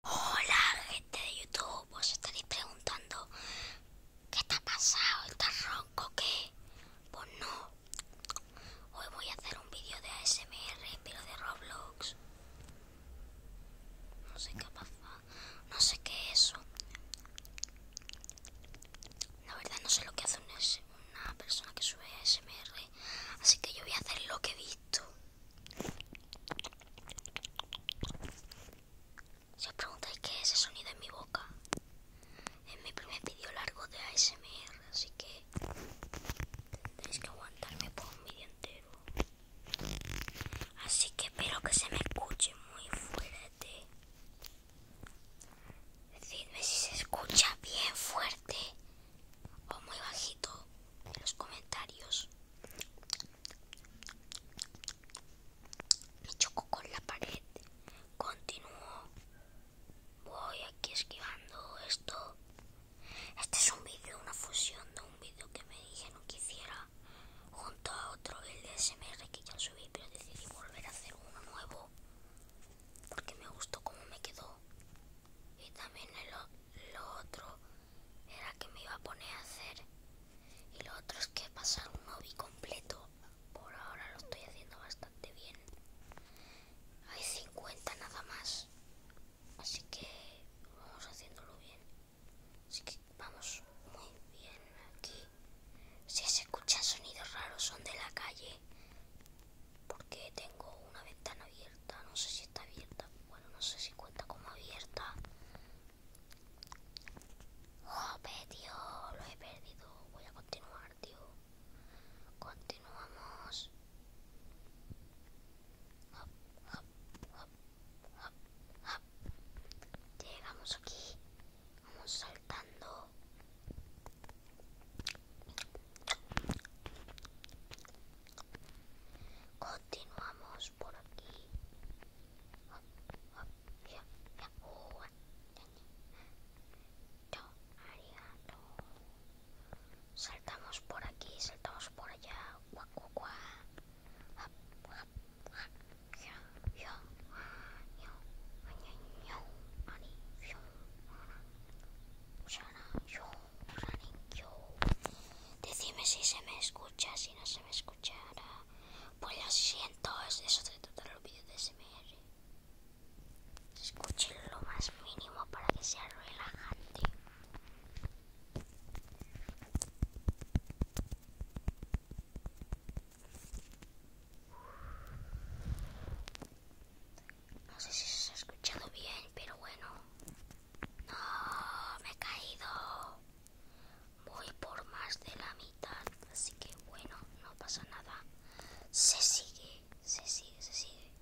Hola gente de YouTube, os estaréis preguntando ¿Qué te ha pasado? ¿Estás ronco qué? Pues no Hoy voy a hacer un vídeo de ASMR, pero de Roblox No sé qué pasa, no sé qué es eso La verdad no sé lo que hace una persona que sube ASMR Así que yo voy a hacer lo que he visto si os preguntáis qué es ese sonido en mi boca, es mi primer vídeo largo de ASMR, así que tenéis que aguantarme por un vídeo entero. Así que espero que se me escuche muy fuerte. Decidme si se escucha bien fuerte o muy bajito en los comentarios. Me chocó con la pared. Continuo. Voy aquí esquivando esto. Este es un vídeo, una fusión de un vídeo que me dijeron que hiciera junto a otro, el de que ya subí, pero decidí volver a hacer uno nuevo porque me gustó cómo me quedó. Y también lo otro era que me iba a poner a hacer. Y lo otro es que pasar un hobby completo. Por ahora lo estoy haciendo bastante bien. Hay 50 nada más. Así que vamos haciéndolo bien. Así que vamos muy bien aquí. Si se escuchan sonidos raros son de la calle porque tengo una ventana abierta no sé si está abierta bueno no sé si cuenta como abierta oh tío lo he perdido voy a continuar tío continuamos llegamos aquí vamos saltando Continuamos por aquí. Ah, ah, oh, saltamos por aquí, saltamos por allá. Decime si se me escucha, si no se me escuchará. Pues lo siento, Es eso de todo los vídeos de SMR. Escuchen lo más mínimo para que sea relajante. No sé si se ha escuchado bien, pero bueno. No, me he caído. Voy por más de la mitad, así que bueno, no pasa nada. Se sigue, se sigue, se sigue.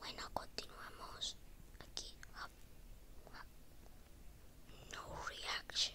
Bueno, continuamos aquí. Ah, ah. No reaction.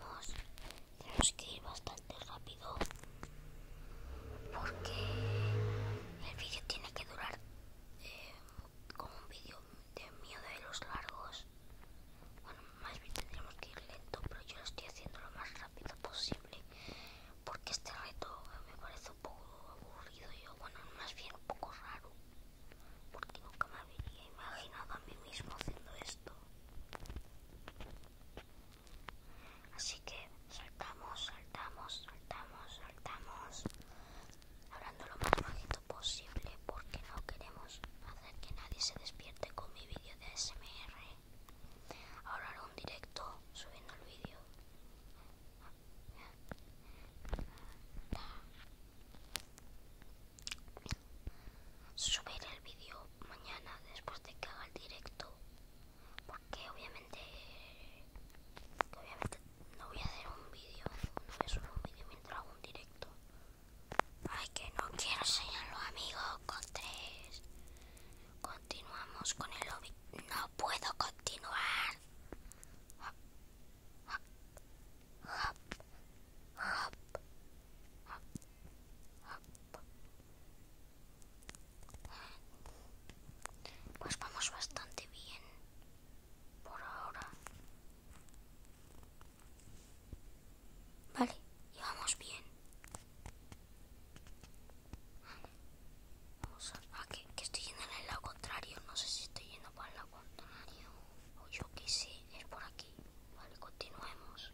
Vamos, tenemos que ir bastante rápido porque el vídeo tiene que durar eh, como un vídeo de mío de los largos. Bueno, más bien tendríamos que ir lento, pero yo lo estoy haciendo lo más rápido posible porque este reto me parece un poco aburrido y bueno, más bien un poco raro porque nunca me habría imaginado a mí mismo haciendo esto. Así que saltamos, saltamos, saltamos, saltamos, hablando lo más bajito posible porque no queremos hacer que nadie se despierte con mi vídeo de SMR. Ahora haré un directo subiendo el vídeo subir el vídeo mañana después de que haga el directo porque obviamente no voy a hacer un vídeo no voy un vídeo mientras hago un directo ay que no quiero enseñarlo amigo con tres continuamos con el lobby no puedo continuar ah, ah hop, Pues vamos bastante bien por ahora. Vale, y vamos bien. Vamos a... Ah, que, que estoy yendo en el lado contrario. No sé si estoy yendo para lo contrario o yo que sé es por aquí vale continuemos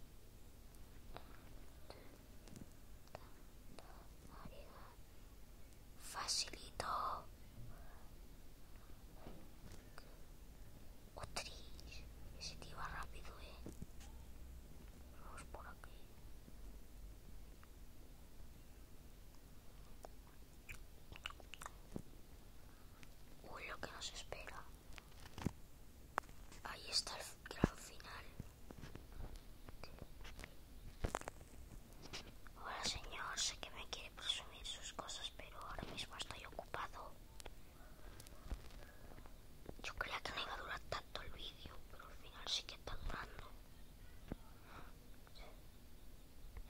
facilito otri ese te iba rápido eh vamos por aquí Uy, lo que nos espera. Ahí está el gran final. Hola señor, sé que me quiere presumir sus cosas, pero ahora mismo estoy ocupado. Yo creía que no iba a durar tanto el vídeo, pero al final sí que está durando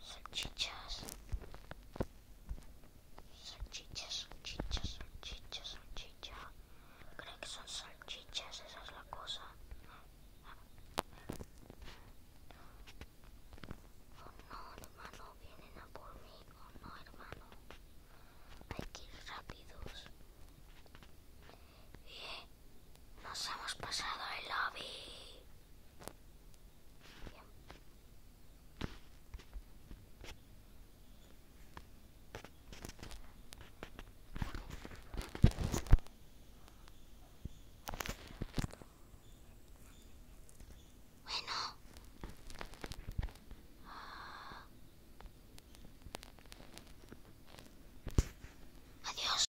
salchichas, salchichas, salchichas, salchichas, salchichas Creo que son salchichas, esa es la cosa. Oh no, hermano, vienen a por mí. Oh, no, hermano. Hay que ir rápidos. Bien, eh, nos hemos pasado el lobby. Bueno. Adiós.